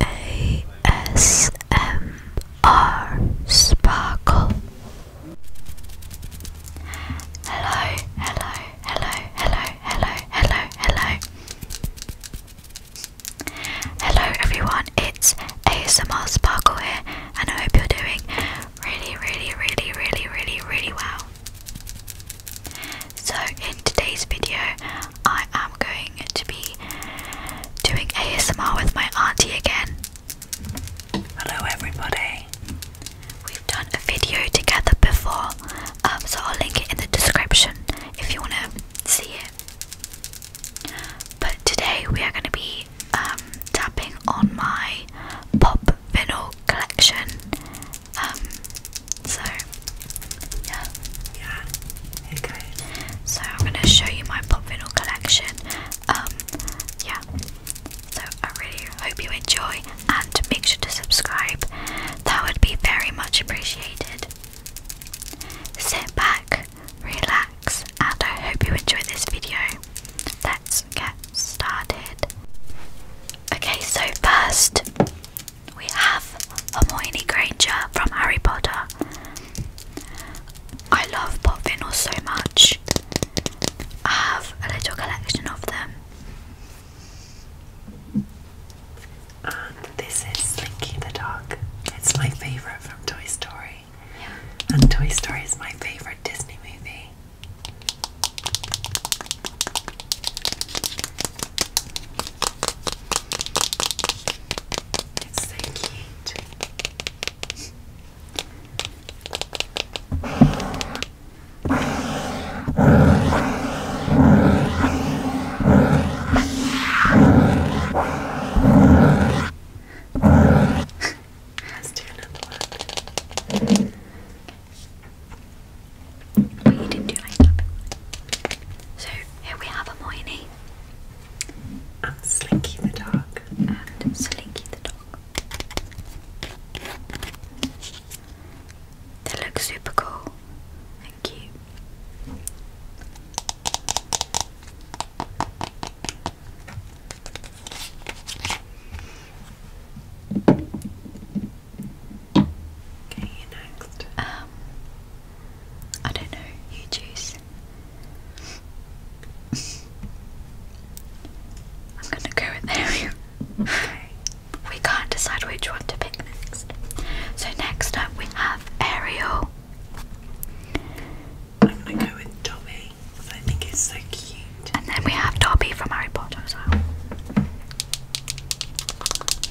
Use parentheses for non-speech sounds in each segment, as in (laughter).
ASMR Sparkle. Hello, hello, hello, hello, hello, hello, hello. Hello everyone, it's ASMR Sparkle here, and I hope you're doing really, really, really, really, really, really well. So in today's video, I am going to be doing ASMR with my auntie again. Hello everybody. We've done a video together before, um, so I'll link it in the description if you want to see it. But today we are going to be um, tapping on my pop vinyl collection. Um, so, yeah. Yeah. Okay. So I'm gonna show you my pop vinyl collection. Um, yeah. So I really hope you enjoy, and make sure to subscribe. That would be very much appreciated. Sit back, relax, and I hope you enjoy this video. Let's get started. Okay, so first we have Hermione Granger from Harry Potter. I love pot so much. I have a little collection of them. And this is Slinky the dog. It's my favourite from Toy Story. And Toy Story is my favourite Disney movie. It's so cute. Let's do another one. So here we have a Hermione. And Slinky the Dog. And Slinky the Dog. They look super cool Thank you. Okay, you next. Um, I don't know. You choose. (laughs) I'm gonna go with Ariel. (laughs) We can't decide which one to pick next. So next up we have Ariel. I'm gonna go with Dobby because I think it's so cute. And then we have Dobby from Harry Potter as well.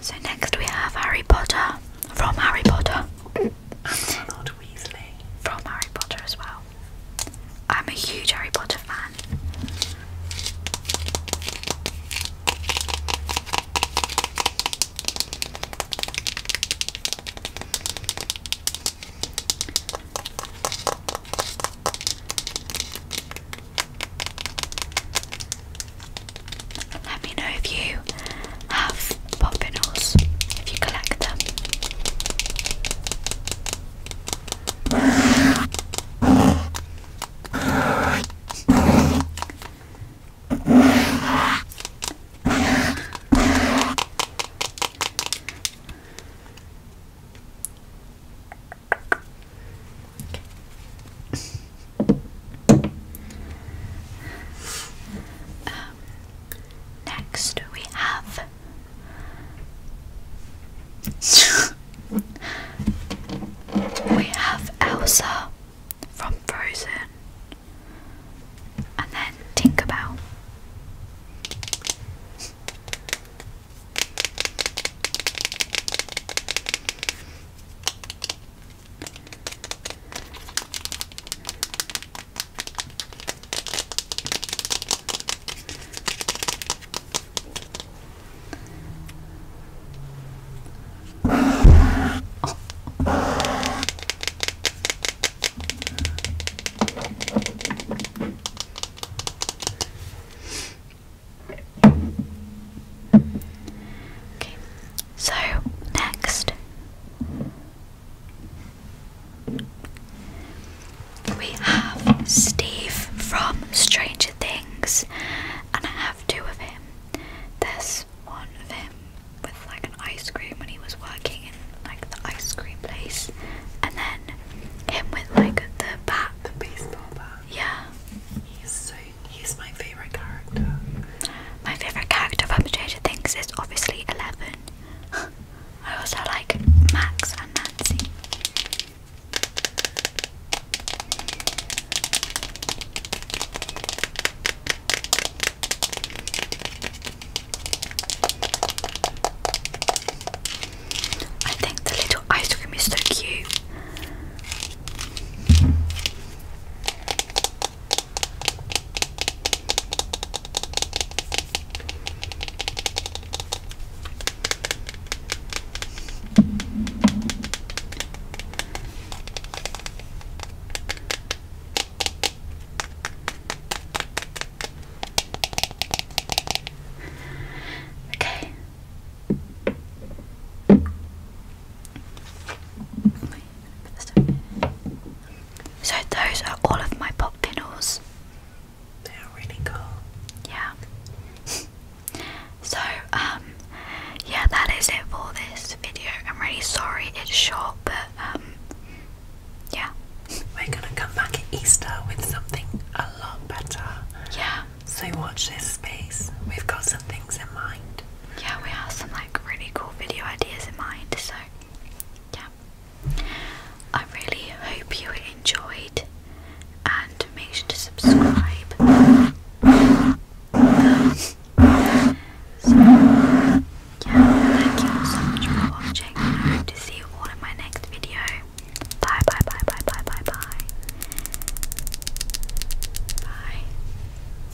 so next we have Harry Potter from Harry Potter from Harry Potter as well. I'm a huge Harry Potter fan. Let me know if you have poppinolls if you collect them. Next, we have. (laughs) we have Elsa from Frozen and then Tinkerbell. Okay, so next we have Steve from Stranger Things, and I have two of him. There's one of him with like an ice cream when he was working in like the ice cream place, and then him with like the bat, the baseball bat. Yeah, he's so he's my favorite. My favorite character from Potato Things is obviously Eleven. (laughs) I also like Max and Nancy. I think the little ice cream is so cute. Okay. Oh my so those are all of my pop vinyls. They are really cool. Yeah. (laughs) so um, yeah, that is it for this video. I'm really sorry it's short, but um, yeah. (laughs) We're gonna come back at Easter with something a lot better. Yeah. So watch this space. We've got some things in mind yeah, we have some like really cool video ideas in mind, so yeah. I really hope you enjoyed and make sure to subscribe. so yeah, thank you so much for watching to see you all in my next video. Bye bye bye bye bye bye bye. Bye.